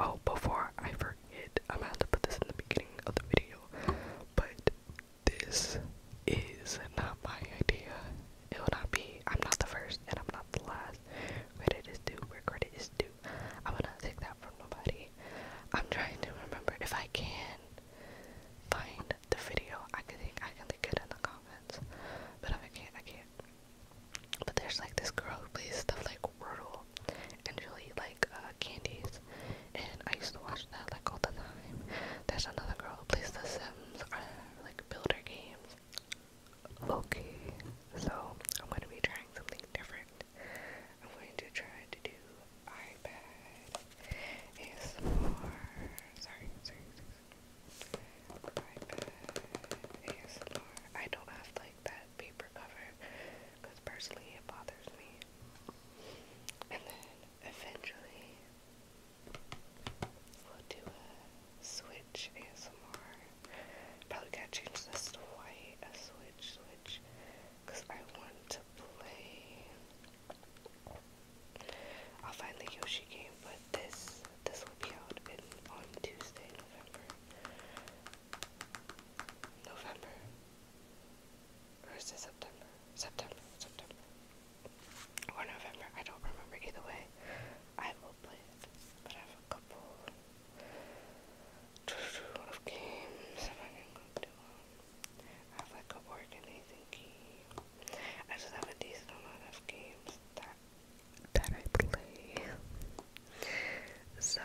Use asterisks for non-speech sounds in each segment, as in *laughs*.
Oh, before I forget, I'm gonna put this in the beginning of the video, but this is not my idea. It will not be. I'm not the first and I'm not the last. Credit is due where credit is due. I'm gonna take that from nobody. I'm trying to remember if I can find the video. I can think I can link it in the comments, but I can't, I can't. But there's like this girl who plays stuff like Wordle, and she'll eat like uh, candies, and I used to watch that like all the time. There's another girl who plays The Sims or uh, like builder games. Okay, so I'm gonna be trying something different. I'm going to try to do iPad ASMR. Sorry, sorry, sorry. iPad ASMR. I don't have like that paper cover because personally it bothers me. And then eventually we'll do a switch ASMR. Probably gotta change this to white, a switch, switch, because I want to play. I'll find the Yoshi game, but this this will be out on Tuesday, November November. Or it September? September, September. Or November, I don't remember either way. I have a couple of games I have like a organizing game. I just have a decent amount of games that I play. So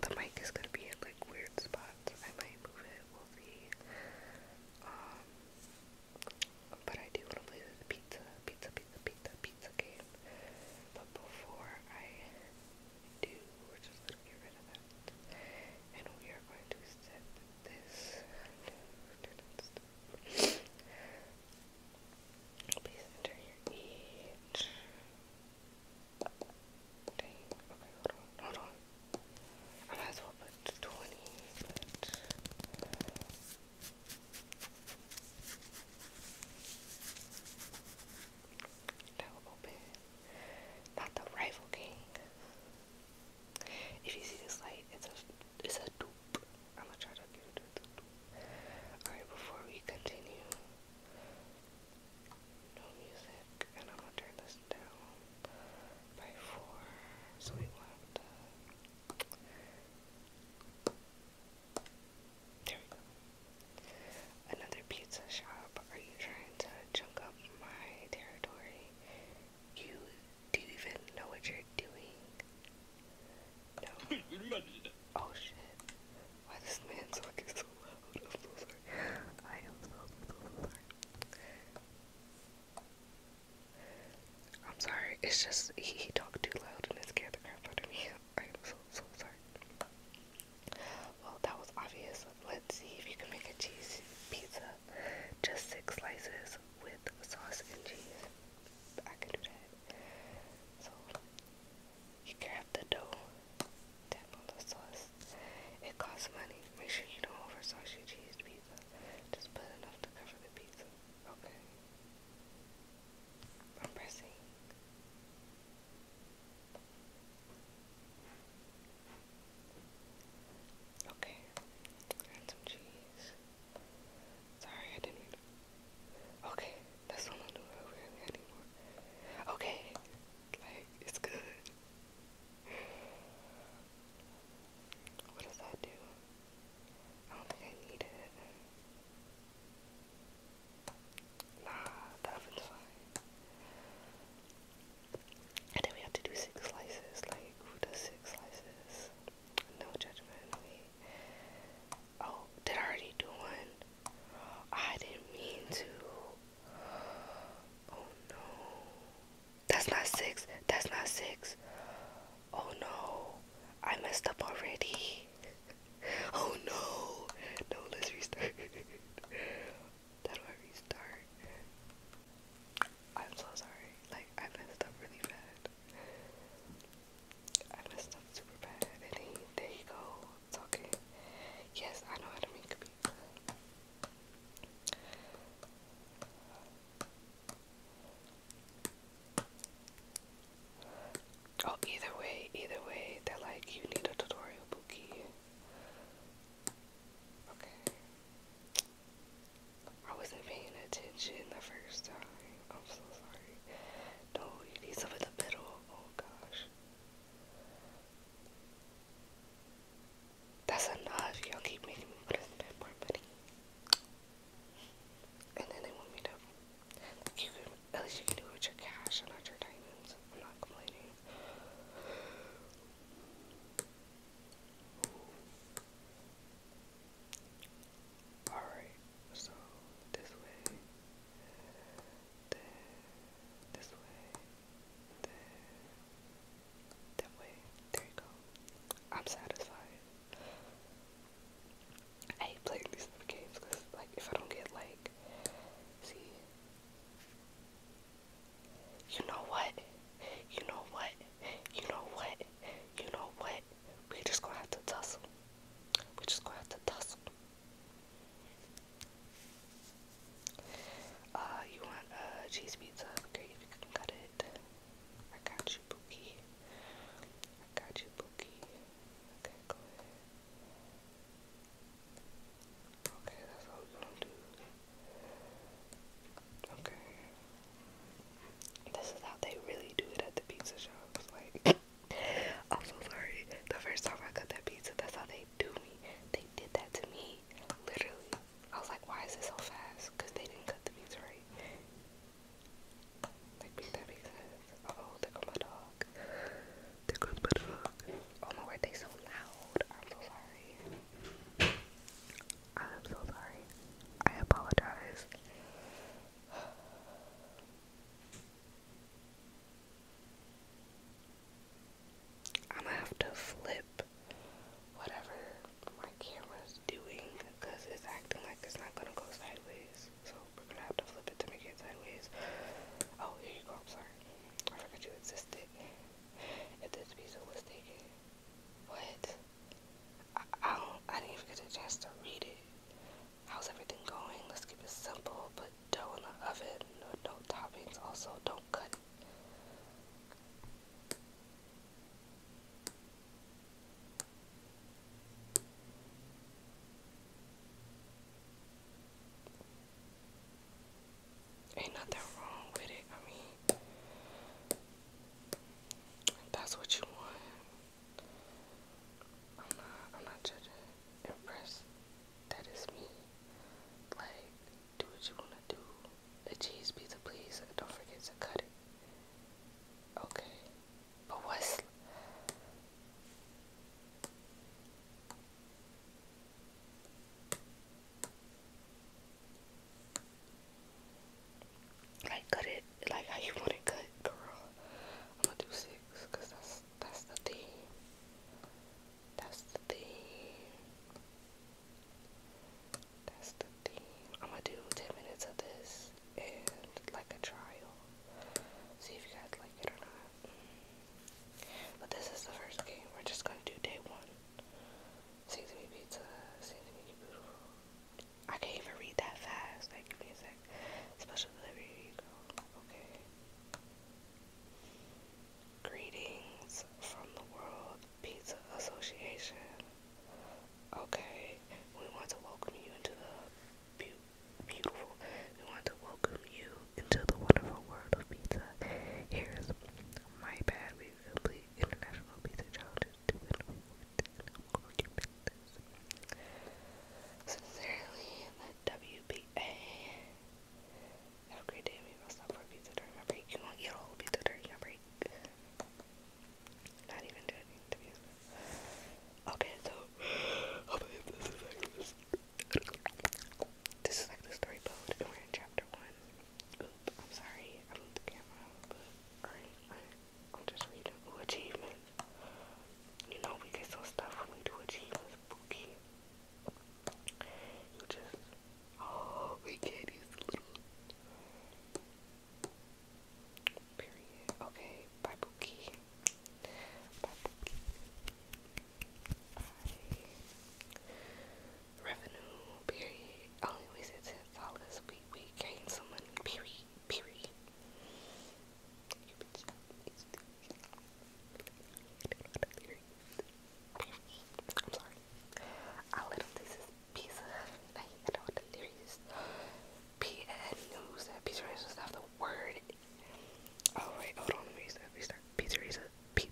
the mic is gonna be in like weird spots. I might move it, we'll see. Um, but I do wanna play this pizza, pizza, pizza, pizza, pizza game. But before I do, we're just gonna get rid of that. And we are going to set this Please enter your age. okay, hold on, hold on. I might as well put 20, but. That Not the rival gang. If you see this light, it's a it's a dupe. Alright, before we continue, no music, and I'm gonna turn this down by four, so we Another pizza shop. Are you trying to chunk up my territory? You do you even know what you're doing? No. Oh shit. Why this man's talking so loud? I'm so sorry. I am sorry. it's just he, talked too loud and it scared the crap I am so, so sorry. Well, that was obvious. Let's see if you can make a cheese pizza. Just six slices with sauce and cheese. I can do that. So you grab the dough, tap on the sauce. It costs money. Make sure you don't over sauce your cheese pizza. Just put enough to cover the pizza. Okay. I'm pressing. Okay. Add some cheese. Sorry, I didn't. Okay, that's what I'm doing over anymore. Okay, like, it's good. What does that do? I don't think I need it. Nah, that fine. And then we have to do six slices. Like, who does six slices? No judgment. Oh, did I already do one? I didn't mean to. Oh no. That's not six. That's not six. Oh no. I messed up already. *laughs* Oh no. No, let's restart. *laughs* How do I restart? I'm so sorry. Like, I messed up really bad. I messed up super bad. And there you go, talking. Yes, I know how to make a Oh, either way, either way, they're like, you need a tutorial, Bookie. Okay. I wasn't paying attention the first time. I'm so sorry. No, you need some in the middle. Oh gosh. That's enough. Y'all keep making me put more money. And then they want me to. You can, at least you can do it with your cash not your diamonds. I'm not complaining. Alright, so this way, there, this way, there, that way. There you go. I'm satisfied. I hate these little games because, like, if I don't get, like, see, you know what? You know what? You know what? You know what? we just gonna have to tussle. We just gonna have to tussle. Uh, you want uh, cheese pizza? Great, you can cut it. I got you, Bookie. I got you, Bookie. Okay, go ahead. Okay, that's all we're gonna do. Okay, this is how they really do it at the pizza shops. Like, *laughs* I'm so sorry. The first time I got that pizza, that's how they do me. They did that to me, literally. I was like, why is it so fast? Because they didn't cut the pizza right. Like, beat that pizza. Oh, there goes my dog. There goes my dog. Oh my word, they so loud. I'm so sorry. I'm so sorry. I apologize. I'm gonna have to flip whatever my camera's doing because it's acting like it's not gonna go sideways. So we're gonna have to flip it to make it sideways. Oh, here you go. I'm sorry. I forgot you existed. If this pizza was taken, what? I, don't. I didn't even get a chance to read it. How's everything going? Let's keep it simple. Put dough in the oven. No, no toppings. Also, don't cut. Ain't nothing wrong with it. I mean, that's what you want. I'm not I'm not trying to That is me. Like, do what you wanna do. A cheese pizza, please. Don't forget to cut it. Okay. But what's like cut it like how you want it cut, girl. I'm gonna do six, that's that's the thing. That's the thing. That's the thing. I'm gonna do ten minutes of this and like a trial. See if you guys like it or not. Mm. But this is the first game. We're just gonna do day one. Sing to me pizza, I can't even read that fast. Like, give me a sec. Special delivery, Okay. Greetings from the World Pizza Association. Okay, we want to welcome you into the beautiful. We want to welcome you into the wonderful world of pizza. Here's my bad. We complete international pizza challenges Sincerely, the WBA. Have a great day. We will stop for pizza during our break. You won't eat a whole pizza during your break. Not even doing interviews. Okay, so *gasps* This is like the story mode, and we're in chapter one. Oop, I'm sorry, I moved the camera, but alright, I'm just reading. Ooh, You know, we get so stuff when we do achievements, spooky. You just, oh, we can't use the little. Period. Okay, bye, Pookie. Bye, Bye revenue, period. Only oh, wasted ten dollars. We we gained some money, period, period. I'm sorry. I let him this pizza. I you know the P N news that pizza is not the word. Oh hold on, let me restart restart. Pizza P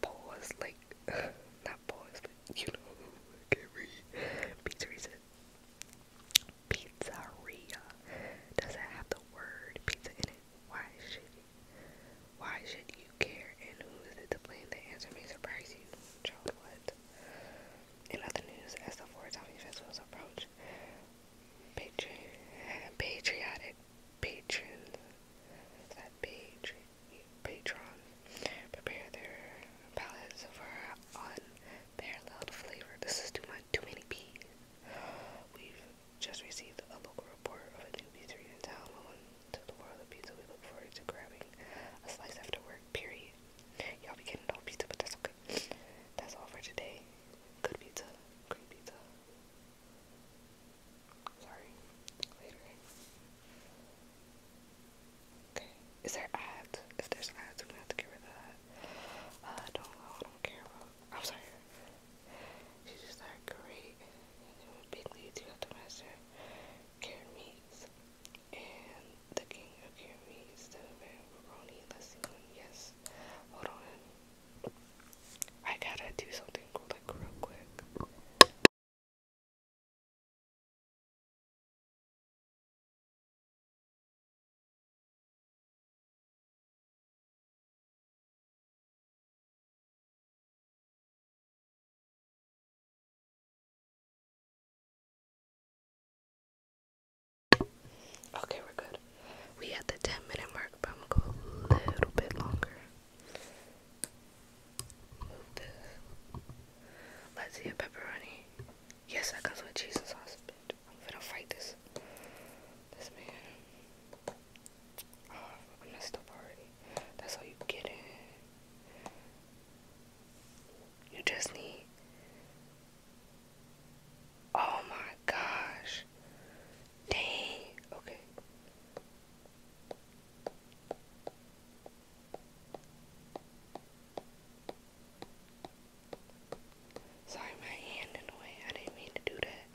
pause like *sighs* frat boys, but you know who I can't read. Pizzeria. Pizzeria. Does it have the word pizza in it? Why should you? Why should you care? And who is it to blame? The answer may surprise you. Child, what? In other news, as the Four Zombie Festivals approach, patri patriotic patrons, is that patri patron prepare their palates for unparalleled flavor. This is too much, too many peas. We've just received a local report of a new pizzeria in town. When to the world of pizza, we look forward to grabbing a slice after work. Period. Y'all be getting all pizza, but that's okay. That's all for today. Good pizza, great pizza. Sorry. Later. Okay. Is there ads? If there's ads, I'm going have to get rid of that. Uh, I don't know. I don't care about. I'm sorry. She's just like great. It would be lead to the master Karamis and the king of Karamis, the man Roni. Let's see Yes. Hold on. I gotta do something cool, like real quick. Okay, we're good. We at the 10 minute mark, but I'm gonna go a little bit longer. Let's see a pepperoni. Yes, that comes with cheese and sauce, I'm gonna fight this. This man. Oh, I messed up already. That's how you get it. You just need. Oh my gosh. Dang. Okay. Sorry, my hand in the way. I didn't mean to do that.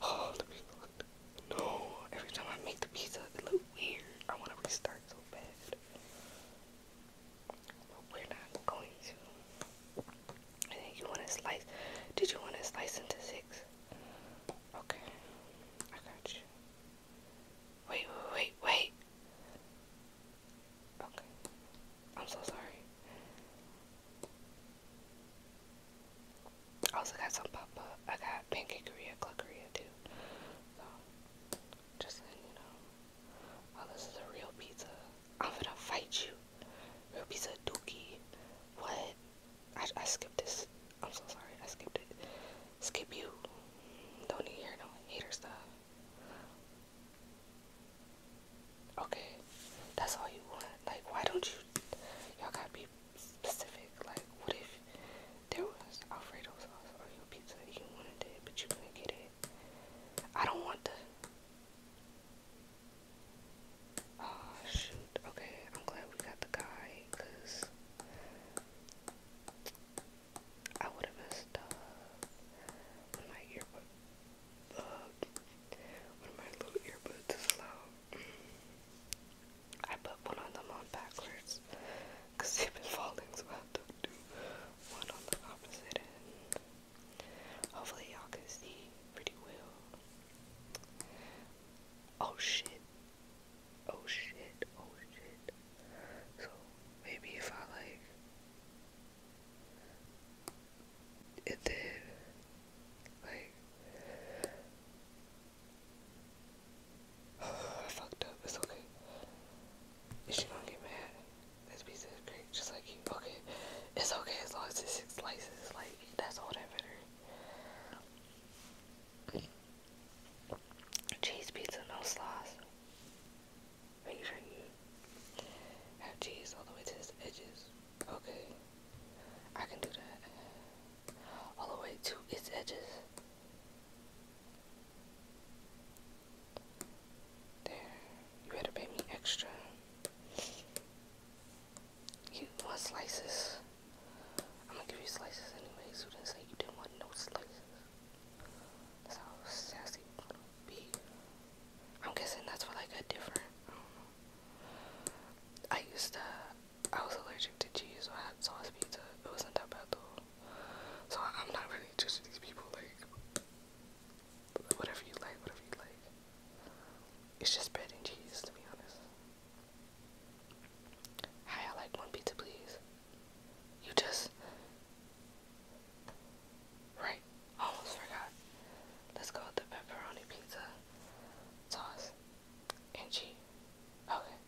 Oh, the pizza looked. No, every time I make the pizza, it look weird. I want to restart so bad. But we're not going to. I you want to slice. Did you want to slice into six? okay. I got you. Wait, wait, wait, wait. Okay. I'm so sorry. I also got some pop I got pancake Korea, cluckeria too. just you know. Oh, this is a real pizza. I'm gonna fight you. Real pizza dookie. What? I, I skipped this. I'm so sorry. I skipped it. Skip you. Don't hear no hater stuff. Okay, that's all you want. Like, why don't you? Y'all gotta be specific. Like, what if there was Alfredo sauce on your pizza? You wanted it, but you couldn't get it. I don't want the. Oh, shoot. Okay, I'm glad we got the guy, because I would have messed up my earbud, uh, when my little earbuds is loud. I put one of them on backwards, because they've been falling, so I have to do one on the opposite end. Hopefully y'all can see pretty well. Oh shit. Oh shit. Oh shit. So maybe if I like it did like *sighs* I fucked up, it's okay. Is she gonna get mad? This piece is great, just like you. Okay, it's okay as long as it's six slices. Like that's all that matters. Cheese pizza, no sauce. Make sure you have cheese all the way to its edges. Okay. I can do that. All the way to its edges. There. You better pay me extra. You want slices? I'm gonna give you slices anyway. So didn't say you didn't want no slices. That's how sassy I'm guessing that's what I got different. I used to, I was allergic to cheese, so I had sauce pizza. It wasn't that bad though. So I'm not really judging these people. Like, whatever you like, whatever you like. It's just bread and cheese, to be honest. Hi, I like one pizza, please. You just. Right, almost forgot. Let's go with the pepperoni pizza sauce and cheese. Okay,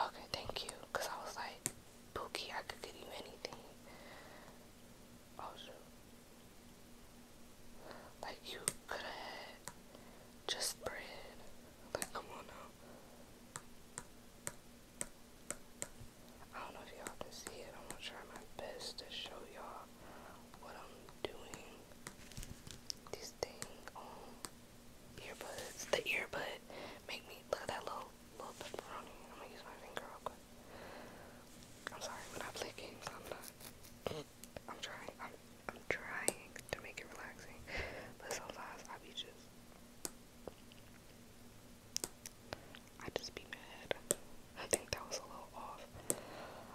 okay, thank you. Cause I was like, Pookie, I could give you anything. Oh shoot. Like you could just spread. Like come on now. I don't know if y'all can see it. I'm gonna try my best to show y'all what I'm doing. These thing um The earbud make me look at that little little pepperoni. I'm gonna use my finger real quick. I'm sorry when I play games i I'm trying. I'm I'm trying to make it relaxing, but sometimes I be just I just be mad. I think that was a little off.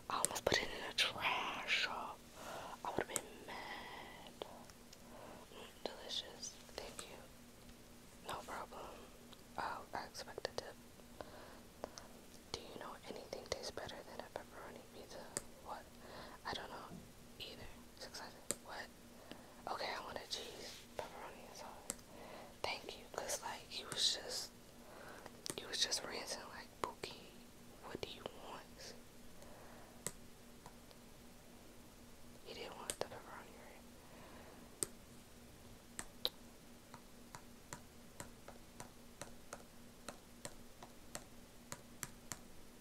I almost put it in the trash. I would have been mad. Mm, delicious. Thank you. No problem. Oh, I expect a do you know anything tastes better than a pepperoni pizza? What? I don't know either. What? Okay, I want a cheese, pepperoni, Thank you, cause like you was just, you was just ranting like Bookie. What do you want? He didn't want the pepperoni,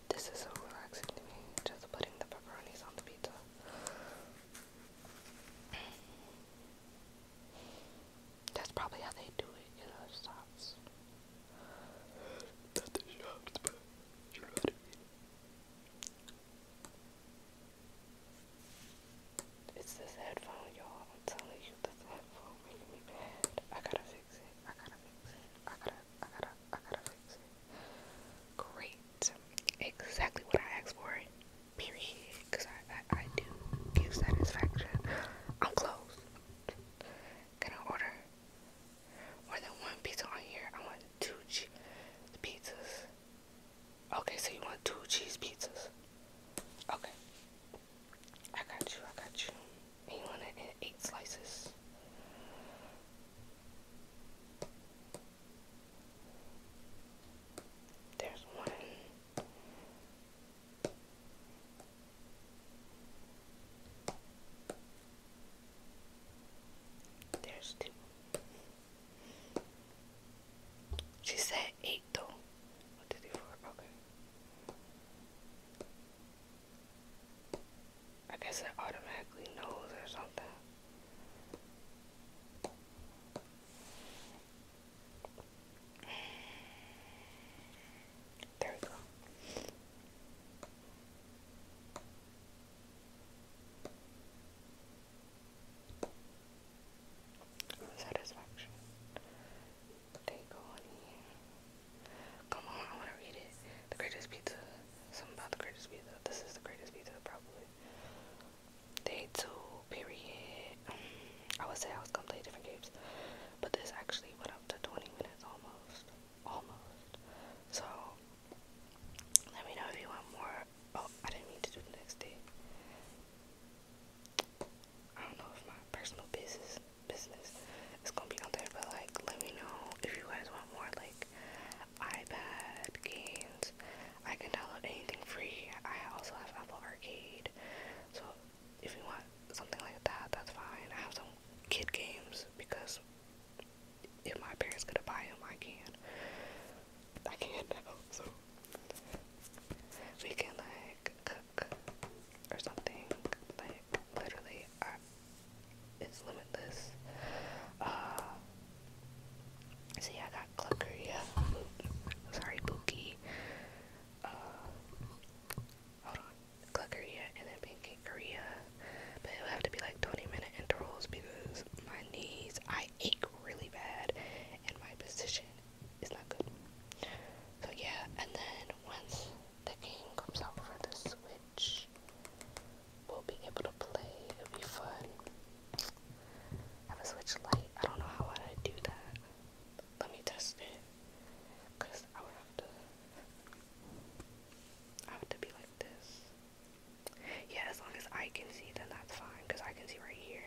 this is so relaxing to me, just putting the pepperonis on the pizza. That's probably how they do it in other shops. the shops, It's this headphone, y'all. I'm telling you, this headphone. I gotta fix it. I gotta fix it. I gotta, I gotta, I gotta fix it. Great. Exactly what I asked for. Period. Because I, I, do give satisfaction. I'm close. Can I order more than one pizza on here? I want two cheese pizzas. Okay, so you want two cheese pizzas. Okay. I got you, I got you. And you want it in eight slices. There's one. There's two. She said eight though. What did he for? Okay. I guess it automatically knows or something. There we go. Satisfaction they go on here. Come on, I wanna read it. The greatest pizza. Something about the greatest pizza. This is the greatest pizza probably. Day two, period. I would say I was gonna play different games. But this actually went up to twenty minutes almost. Almost. So let me know if you want more. Oh, I didn't mean to do the next day. I don't know if my personal business business is gonna be on there, but like, let me know if you guys want more like iPad games. I can download anything free. I also have Apple Arcade, so if you want something like that, that's fine. I have some kid games because if my parents gonna buy them, I can. I can't now, so we can like cook or something like literally uh, it's limitless uh, see I got cluckeria sorry bookie uh, hold on cluckeria and then pancakeria but it would have to be like 20 minute intervals because my knees I ache really bad and my position it's not good. So yeah, and then once the game comes out for the Switch, we'll be able to play. It'll be fun. I have a Switch light. I don't know how I do that. Let me test it, cause I would have to. I have to be like this. Yeah, as long as I can see, then that's fine, cause I can see right here,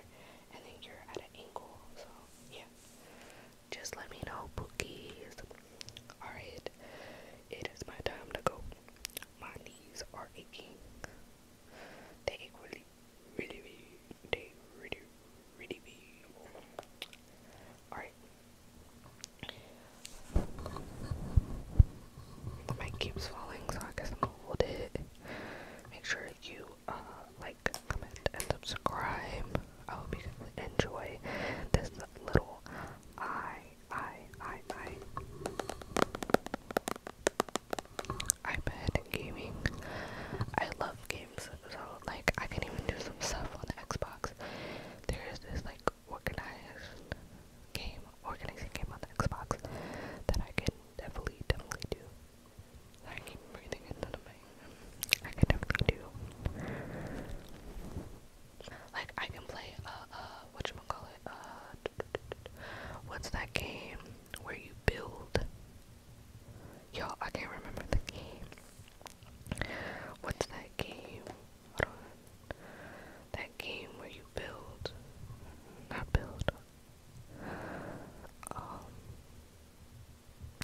and then you're at an angle. So yeah, just let me know, bookies. Alright, it is my time to go. My knees are aching. They ache really, really big. They really, really Alright. The keeps falling, so I guess I'm gonna hold it. Make sure you uh, like, comment, and subscribe. I hope you enjoy this little I, I, I, I iPad gaming. I love games, so like I can even do some stuff on the Xbox. There is this like organized game, organizing game on the Xbox that I can definitely, definitely do. I keep breathing into the mic. I can definitely do. Like, I can play, uh, uh, whatchamacallit, uh, what's that game where you build? Yo, I can't remember the game. What's that game? Hold on. That game where you build, not build, um,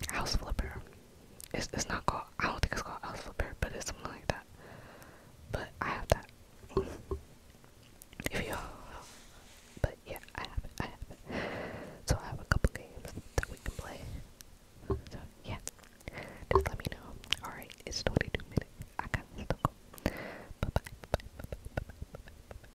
house flipper. It's it's not called. I don't think it's called house flipper, but it's something like that. But I have that. If you all, but yeah, I have it. I have it. So I have a couple games that we can play. So yeah, just let me know. All right, it's 22 minutes. I got to go. bye, -bye.